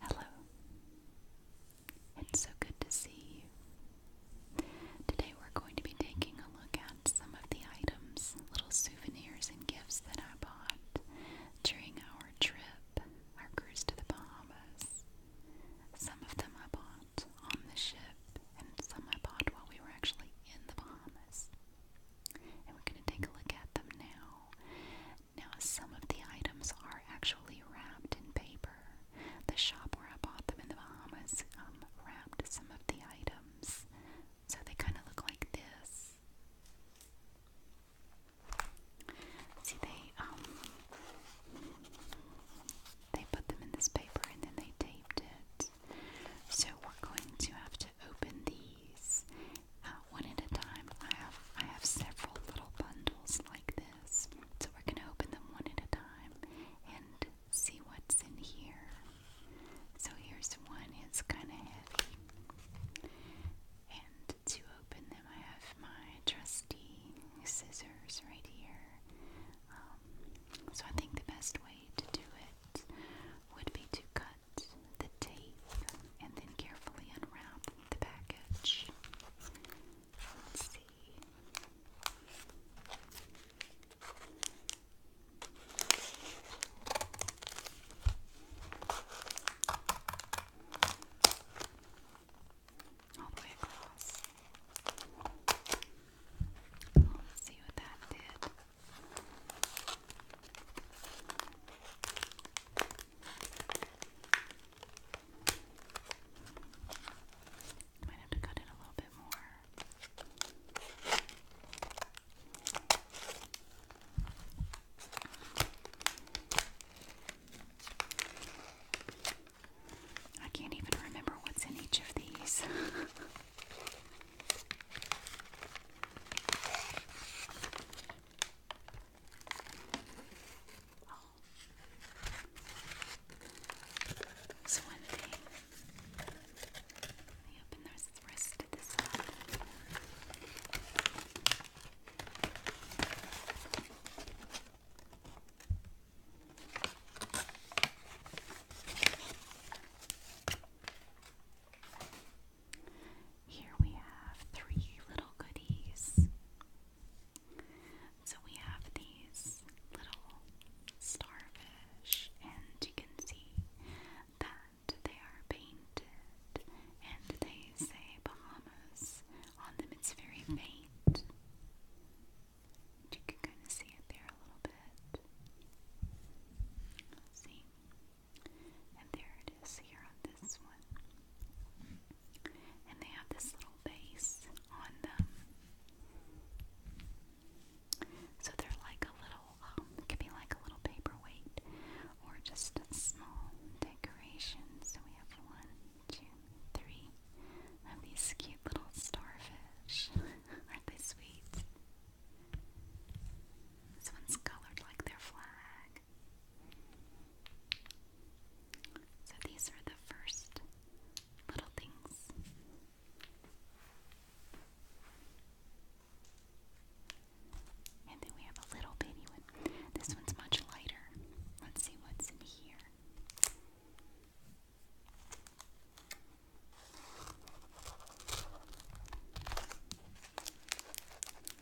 Hello. It's so good to see you. Today we're going to be taking a look at some of the items, little souvenirs and gifts that I bought during our trip, our cruise to the Bahamas. Some of them I bought on the ship and some I bought while we were actually in the Bahamas. And we're going to take a look at them now now, some of the items are actually wrapped in paper. The shop where I bought them in the Bahamas um, wrapped some of the items. So they kind of look like this. See, they um, they put them in this paper and then they taped it. So we're going to have to open these uh, one at a time. I have I have several little bundles like this, so we're gonna open them one at a time and see what's in here. So here's one. It's kind of heavy, and to open them, I have my trusty scissors right here. Um, so I think the best way to do it would be to cut the tape and then carefully unwrap the package. Let's see. All the way across. Let's see what that might have to cut it a little bit more. I can't even remember what's in each of these. Oh. So one thing. Let me open the rest of this up. Okay. Here we have three little goodies. So we have these little starfish, and you can see that they are painted and they say Bahamas on them. It's very faint. You can kind of see it there a little bit. Let's see. And there it is here on this one. And they have this little base on them. So they're like a little, um, could be like a little paperweight or just small decoration. So we have one, two, three of these cute little starfish. Aren't they sweet? This colored like their flag. So these are the first little things. And then we have a little bitty one. This one's much lighter. Let's see what's in here.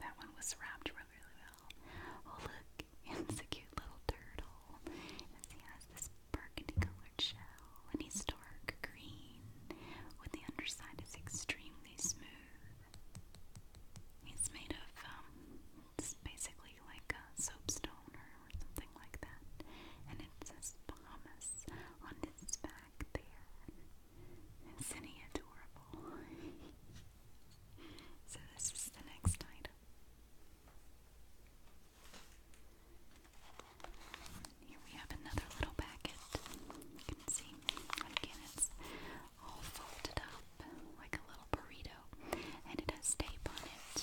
that one was wrapped really, really well. Oh, look, it's a cute little turtle. And he has this burgundy colored shell, and he's dark green, with the underside is extremely smooth. He's made of, um, it's basically like a soapstone or something like that. And it says Bahamas on his back there. Isn't adorable? so, this is the next item. Here we have another little packet. You can see, again, it's all folded up like a little burrito, and it has tape on it.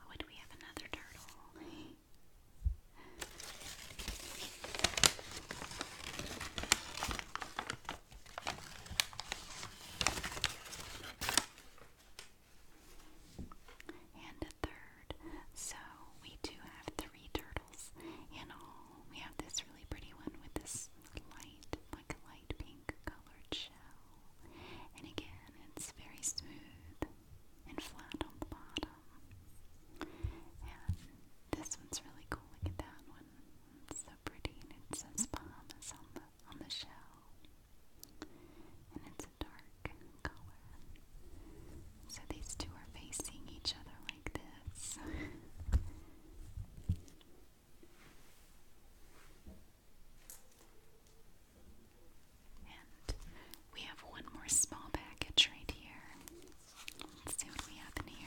Oh, and we have another turtle. And a third third. So we do have three turtles in all. We have this really pretty one with this light, like a light pink colored shell. And again, it's very smooth and flat on the bottom. And this one's really cool. Look at that one. It's so pretty and it says Bahamas on the on the shell. And it's a dark color. So these two are facing each other like this. and we have one more small package right here. Let's see what we have in here.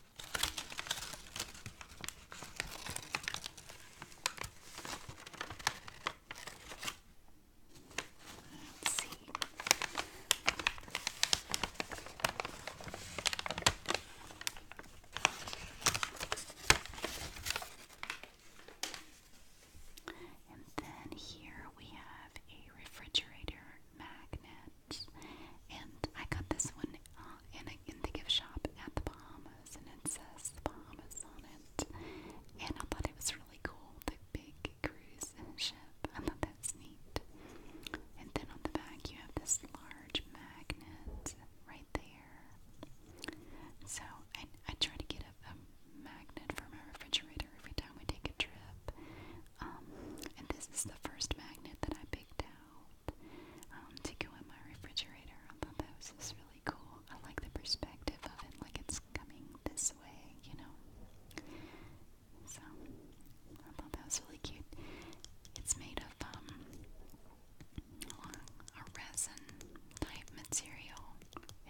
Let's And then here we have a refrigerator magnet. And I got this one uh, in, in the gift shop at the Bahamas, and it says Bahamas on it. And I thought it was really cool, the big cruise ship. I thought that's neat. And then on the back, you have this large magnet right there. So I, I try to get a, a magnet for my refrigerator every time we take a trip. Um, and this is the first magnet that I picked out um, to go in my refrigerator. I thought that was just really cool. I like the perspective of it, like it's coming this way, you know. So I thought that was really cute. It's made of um, a resin type material.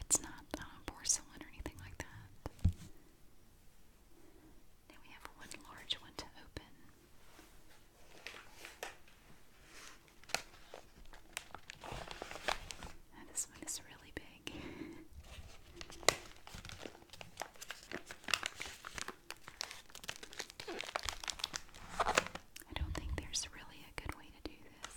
It's not uh, porcelain or anything like that. Now we have one large one to open. this one is really big. I don't think there's really a good way to do this.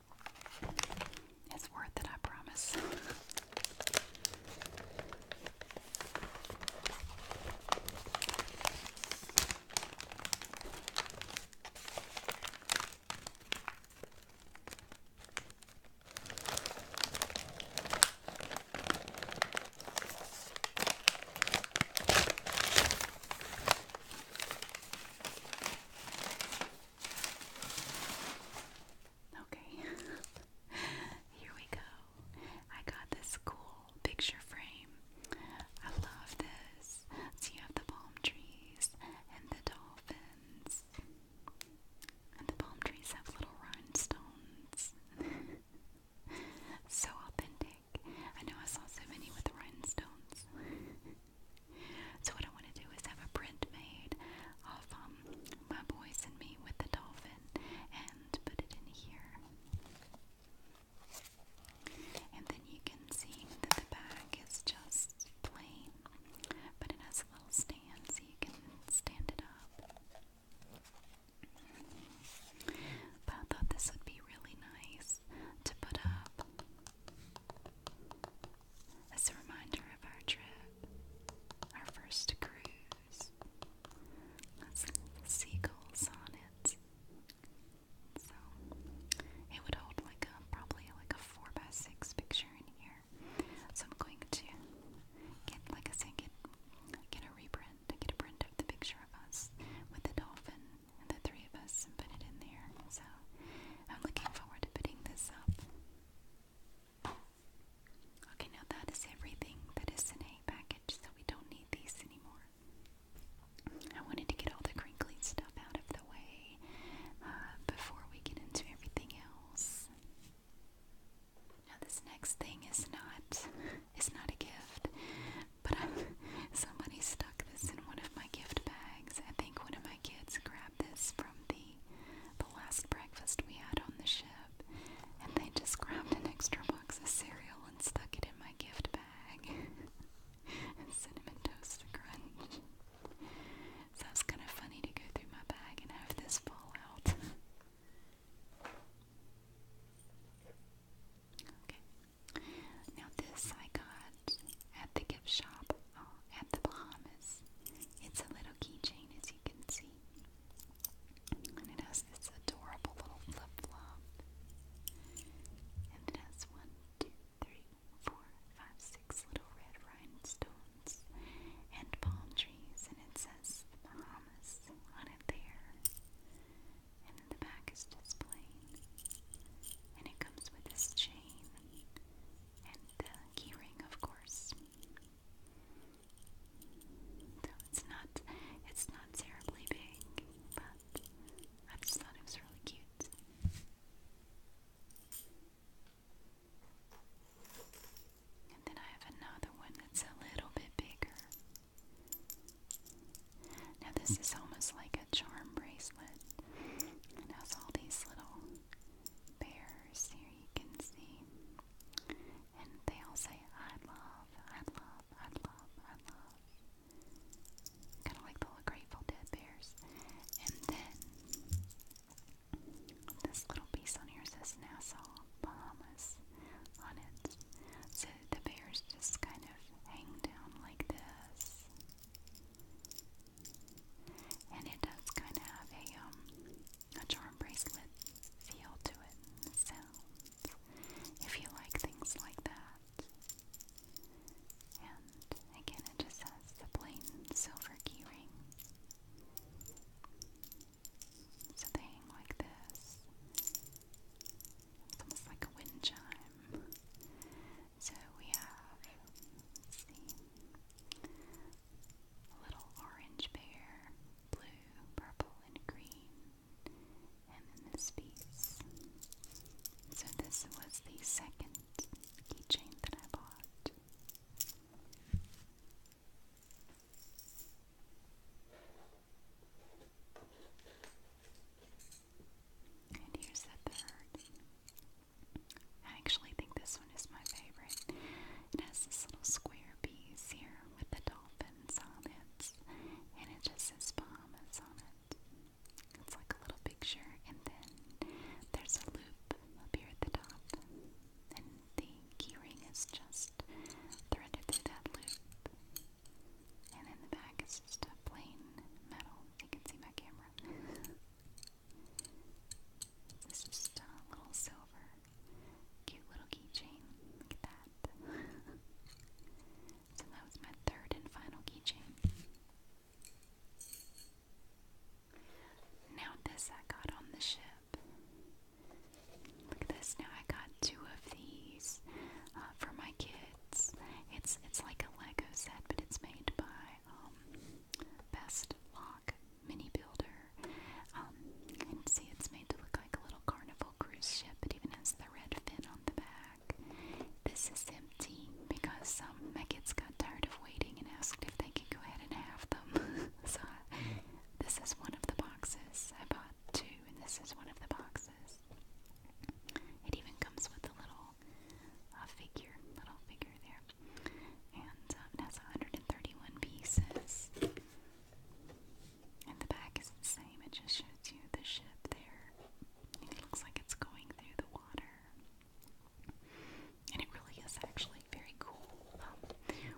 It's worth it, I promise. Okay, here we go. I got this cool picture frame. I love this. So you have the palm trees and the dolphins. And the palm trees have little rhinestones. so authentic. I know I saw so many with rhinestones. So what I want to do is have a print made of um, my boys and me with the dolphin and put it in here. And then you can see that the back is just plain, but it has a little stand so you can stand it up. But I thought this would be really nice to put up as a reminder of our trip, our first cruise. That's seagulls on it. So it would hold like a probably like a four by six picture in here. So I'm going to get like I said, get a reprint, get a print of the picture of us with the dolphin the three of us and put it in there. So I'm looking forward to putting this up. Okay, now that is everything that is in a package, so we don't need these anymore. I wanted to get all the crinkly stuff out of the way uh, before we get into everything else. Now this next thing is not is not a gift, but I'm, somebody stuck this in one of my gift bags. I think one of my kids grabbed this from the the last breakfast we had on the ship, and they just grabbed an extra box of cereal and stuck it in my gift bag. and cinnamon toast crunch. So it's kind of funny to go through my bag and have this fall out. okay. Now this I got at the gift shop oh, at the Bahamas. It's a little keychain as you can see. And it has this adorable little flip-flop. And it has one, two, three, four, five, six little red rhinestones and palm trees. And it says the Bahamas on it there. And the back is displayed and it comes with this chain and the keyring, of course. So it's not it's not terribly big, but I just thought it was really cute. And then I have another one that's a little bit bigger. Now, this is almost like a charm bracelet. It has all these little bears here you can see. And they all say, I love, I love, I love, I love. Kind of like the Grateful Dead bears. And then this little piece on here says Nassau, Bahamas on it. So the bears just kind of hang down like this. And it does kind of have um, a, charm bracelet feel to it, the if you like things like that. And again, it just has the plain silver keyring, ring. like this. It's almost like a wind chime. So we have, a little orange bear, blue, purple, and green, and then this piece. So this was the second keychain that I bought. And here's the third. I actually think this one is my favorite. It has this little square piece here with the dolphins on it, and it just says Bahamas on it. It's like a little picture, and then there's a loop up here at the top, and the keyring is just threaded through that loop. And then the back is just a plain metal. You can see my camera this is just a little silver, cute little keychain. Look at that. so that was my third and final keychain. Now this I got on the ship. Look at this. Now I got two of these uh, for my kid. It's it's it's like a Lego set, but it's made by um, Best Lock Mini Builder. Um, see it's made to look like a little carnival cruise ship. It even has the red fin on the back. This is empty because um, my kids got tired of waiting and asked if they could go ahead and have them. so mm. this is one of the boxes. I bought two, and this is one of the boxes. It even comes with a little little uh, figure, little figure there. And uh, it has 131 pieces. And the back is the same, it just shows you the ship there. it looks like it's going through the water. And it really is actually very cool. Um,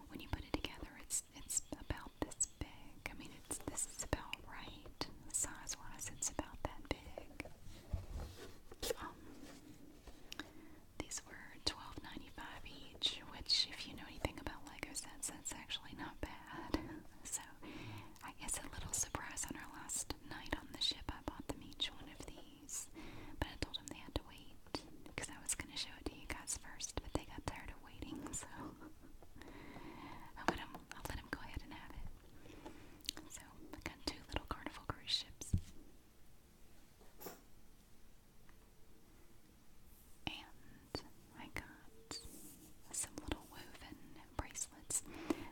when you put it together, it's it's about this big. I mean, it's this is about right size-wise. It's about that big. Um, these were 12 each, which, if you know anything about Lego sets, that's actually not bad. so, I guess a little surprise on our last night on the ship, I bought them each one of these. But told them they had to wait because I was going to show it to you guys first, but they got tired of waiting, so. I'll let them, go ahead and have it. So I got two little Carnival cruise ships. And I got some little woven bracelets.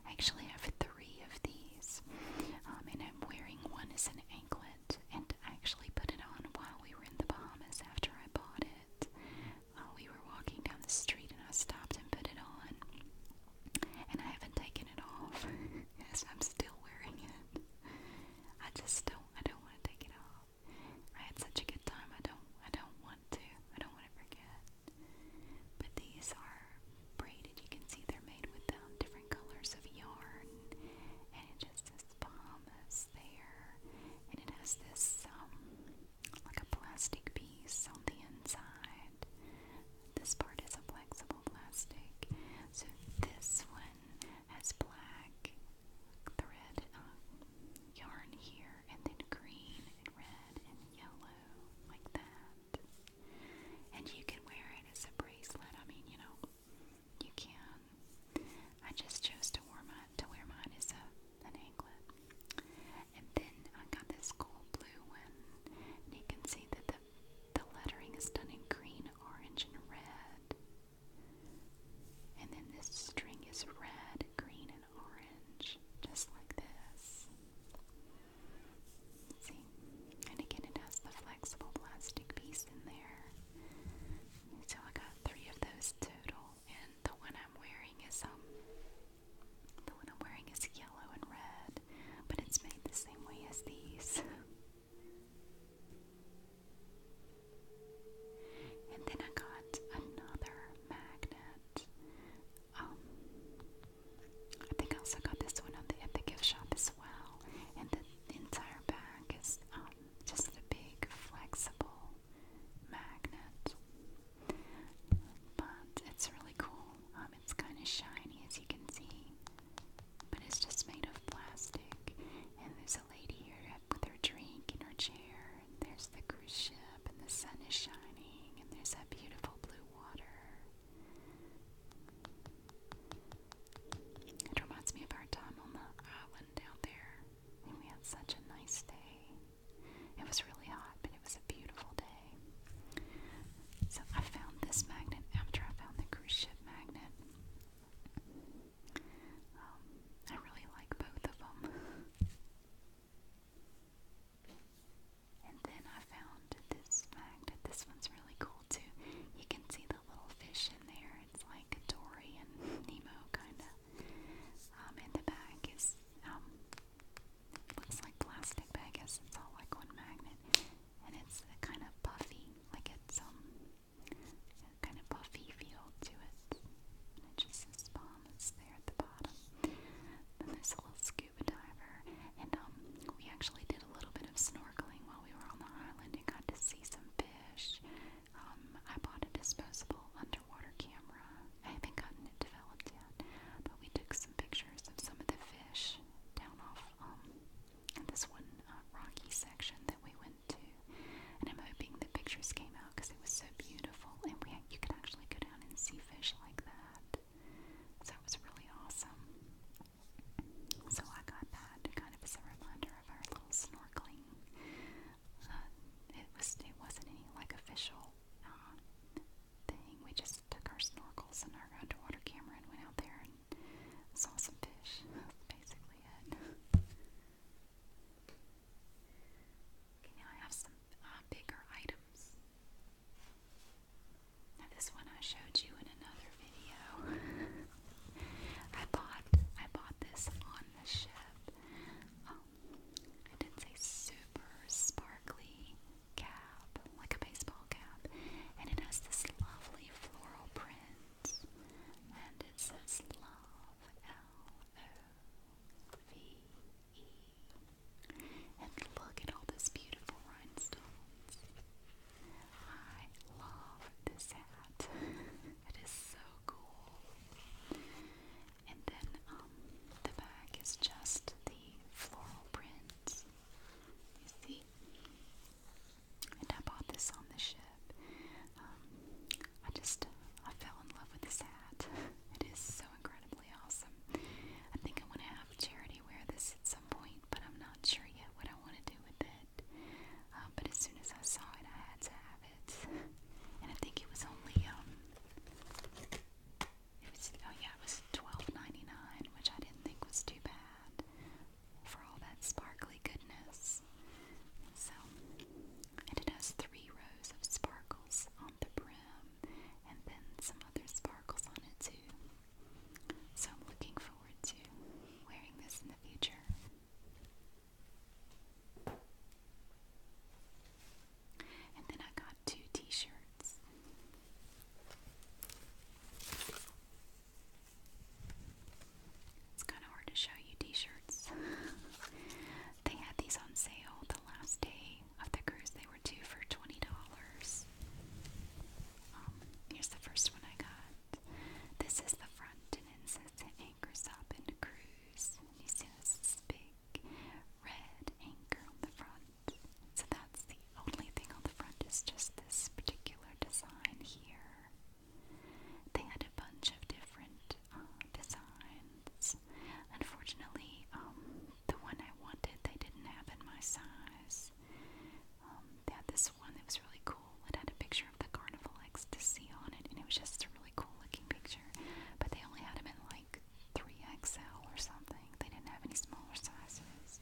I actually have three of these, um, and I'm wearing one as an anklet. And I actually put it on while we were in the Bahamas after I bought it. Uh, we were walking down the street, and I stopped and put it on and I haven't taken it off. yes, I'm still wearing it. I just don't. I don't want to take it off. I had such a good time. I don't. I don't want to. I don't want to forget. But these are braided. You can see they're made with um, different colors of yarn, and it just says Bahamas there, and it has this um like a plastic piece on the inside. This part is a flexible plastic. So this one has black thread um, yarn here, and then green and red and yellow, like that. And you can wear it as a bracelet. I mean, you know, you can. I just chose to wear mine. To wear mine as a an anklet. And then I got this cool blue one. And you can see that the, the lettering is done in green, orange, and red. And then this string is red, green, and orange, just like this. See? And again, it has the flexible plastic piece in there. So I got three of those total, and the one I'm wearing is um the one I'm wearing is yellow and red, but it's made the same way as these. And then I got another magnet. Um, I think I also got this one at the, gift shop as well. And the entire bag is um, just a big flexible magnet. But it's really cool. Um, it's kind of shiny as you can see, but it's just made of plastic. And there's a lady here with her drink in her chair. And there's the cruise ship, and the sun is shining, and there's that beautiful blue water. It reminds me of our time on the island down there. And we had such a nice day. It was really hot, but it was a beautiful day. So I found this magnet after I found the cruise ship magnet. Um, I really like both of them. And then I found this magnet. This one's really cool too. You can see the little fish in there. It's like Dory and Nemo, kind of. Um, in the back is um, looks like plastic, but I guess it's all like one magnet. And it's a kind of puffy, like it's um, a kind of puffy feel to it. And it just says bomb, it's there at the bottom. Then there's a little scuba diver, and um, we actually did a little bit of snorkeling while we were on the island and got to see some fish. Um, I bought a disposable underwater camera I haven't gotten it developed yet, but we took some pictures of some of the fish down off um, this one uh, rocky section that we went to, and I'm hoping the pictures came out because it was so beautiful, and we had, you could actually go down and see fish like that. So it was really awesome. So I got that kind of as a reminder of our little snorkeling. Uh, it was it wasn't any like official uh, thing. We just took our snorkels and our underwater camera and went out there and saw some fish. basically it. now I have some uh, bigger items. this one I showed you in another video. I bought I bought this on the ship. Um, I did say super sparkly cap, like a baseball cap, and it has this lovely floral print, and it says love, L-O-V-E, and look at all this beautiful rhinestones. I love this hat. it is so cool. And then um, the back is just the floral prints. You see? And I bought this on the ship. Um, I just, I fell in love with this hat. It is so incredibly awesome. I think I want to have Charity wear this at some point, but I'm not sure yet what I want to do with it. Um, but as soon as I saw it, I had to have it. And I think it was only, um, it was, oh yeah, it was twelve ninety nine, which I didn't think was too bad for all that sparkly goodness. So, and it has three rows of sparkles on the brim, and then some other sparkles on it too. So I'm looking forward to wearing this in the future. And then I got two t shirts. It's kind of hard to show you t shirts. they had these on sale the last day of the cruise, they were two for $20. Um, here's the first one I got. This is the front, and it says anchors up and cruise. you see this big red anchor on the front. So that's the only thing on the front is just this particular design here. They had a bunch of different uh, designs. Unfortunately, um, the one I wanted they didn't have in my size. Um, they had this one that was really cool. It had a picture of the carnival ecstasy on it, and it was just a really cool looking picture. But they only had them in 3XL or something. They didn't have any smaller sizes.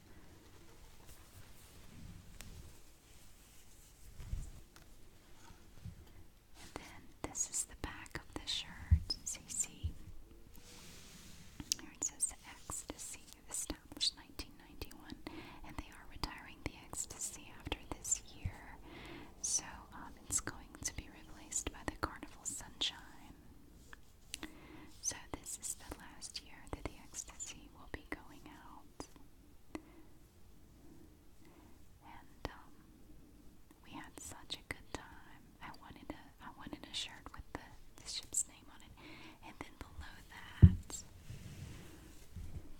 And then this is the back of the shirt. So see, it says Ecstasy, established 1991, and they are retiring the Ecstasy after this year. So um, it's going to be replaced by the Carnival Sunshine. So, this is the last year that the ecstasy will be going out. And um, we had such a good time. I wanted a I wanted a shirt with the, ship's name on it, and then below that,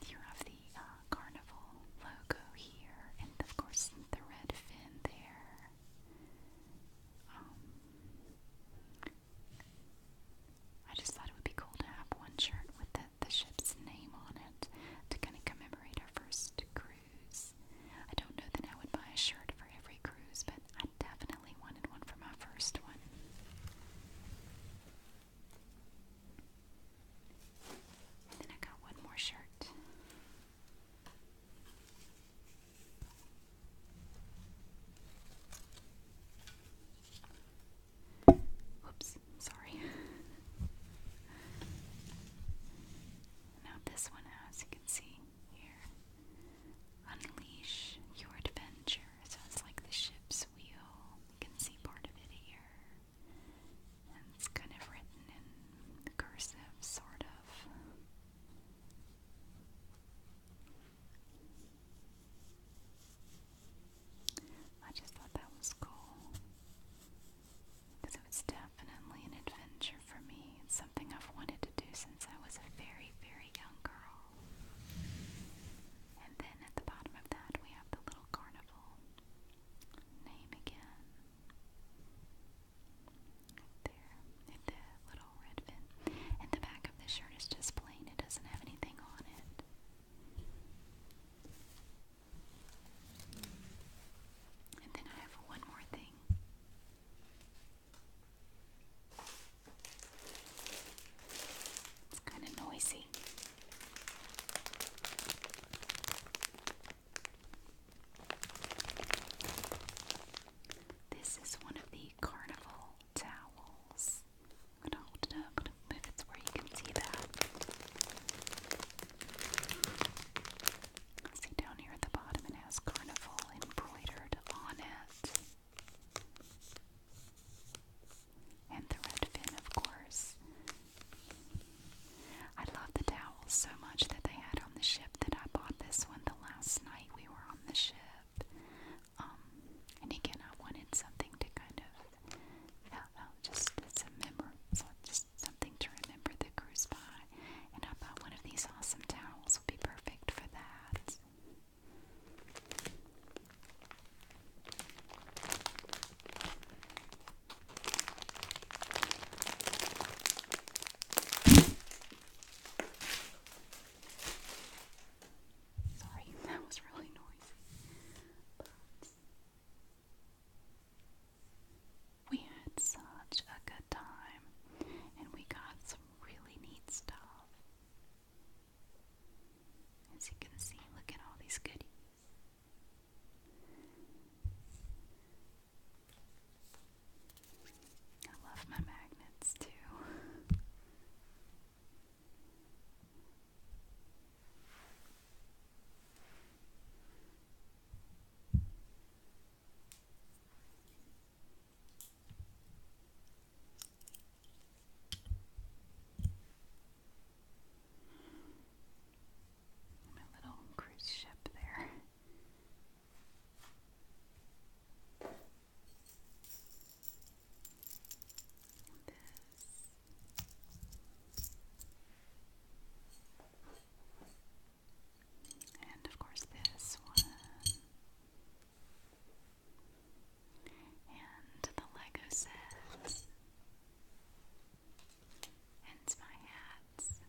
you have the uh, carnival logo here, and of course the red fin there. Um, I just thought it would be cool to have one shirt with the, ship's name on it to kind of commemorate our first cruise. I don't know that I would buy a shirt for every cruise, but I definitely wanted one for my first one. then I got one more shirt. Oops, sorry. Now, this one, as you can see here, unleash your adventure. So it's like the ship's wheel. You can see part of it here. And it's kind of written in cursive, sort of. I just thought that was cool. Because it was definitely an adventure for me. It's something I've wanted to do since I was a very, very young girl. And then at the bottom of that, we have the little carnival. Name again there in the little red fin. And the back of the shirt is just plain, it doesn't have anything on it. And then I have one more thing. It's kind of noisy. This is one of the carnival towels. I'm gonna hold it up, move it where you can see that. See down here at the bottom it has carnival embroidered on it. And the red fin, of course. I love the towels so much that they had on the ship that I bought this one the last night we were on the ship. Um, and again, I wanted something to kind of, uh, uh, just it's a just something to remember the cruise by. And I bought one of these awesome towels would be perfect for that. Sorry, that was really noisy. But we had such a good time, and we got some really neat stuff. As you can see, look at all these goodies. I love my magnets too. My little cruise ship there. And of course, this one. And the Lego sets. And my hats.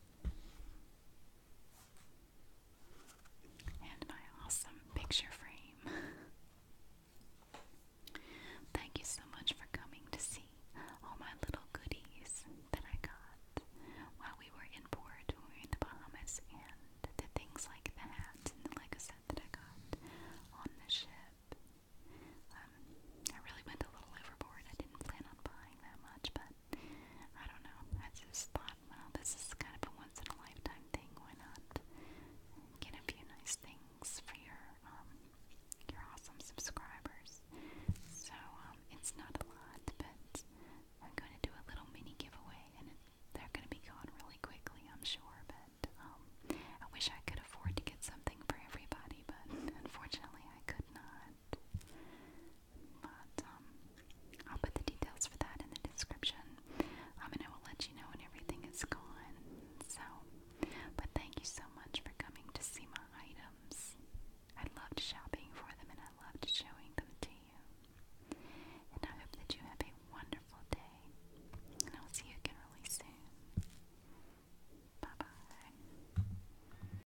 And my awesome picture frame. Thank you so much for coming to see all my little goodies that I got while we were in port, in the Bahamas, and the things like the hat and the Lego set that I got on the ship. Um, I really went a little overboard. I didn't plan on buying that much, but I don't know. I just thought, well, this is kind of a once in a lifetime thing. Why not get a few nice things for your um, your awesome subscribers? So um, it's not a lot, but we're going to do a little mini giveaway, and they're going to be gone really quickly, I'm sure. But um, I wish I could afford to get something for everybody, but unfortunately, I could not. But um, I'll put the details for that in the description. Um, and I will let you know when everything is gone. So, but thank you so much for coming to see my items. I loved shopping for them and I loved showing them to you. And I hope that you have a wonderful day. And I'll see you again really soon. Bye bye.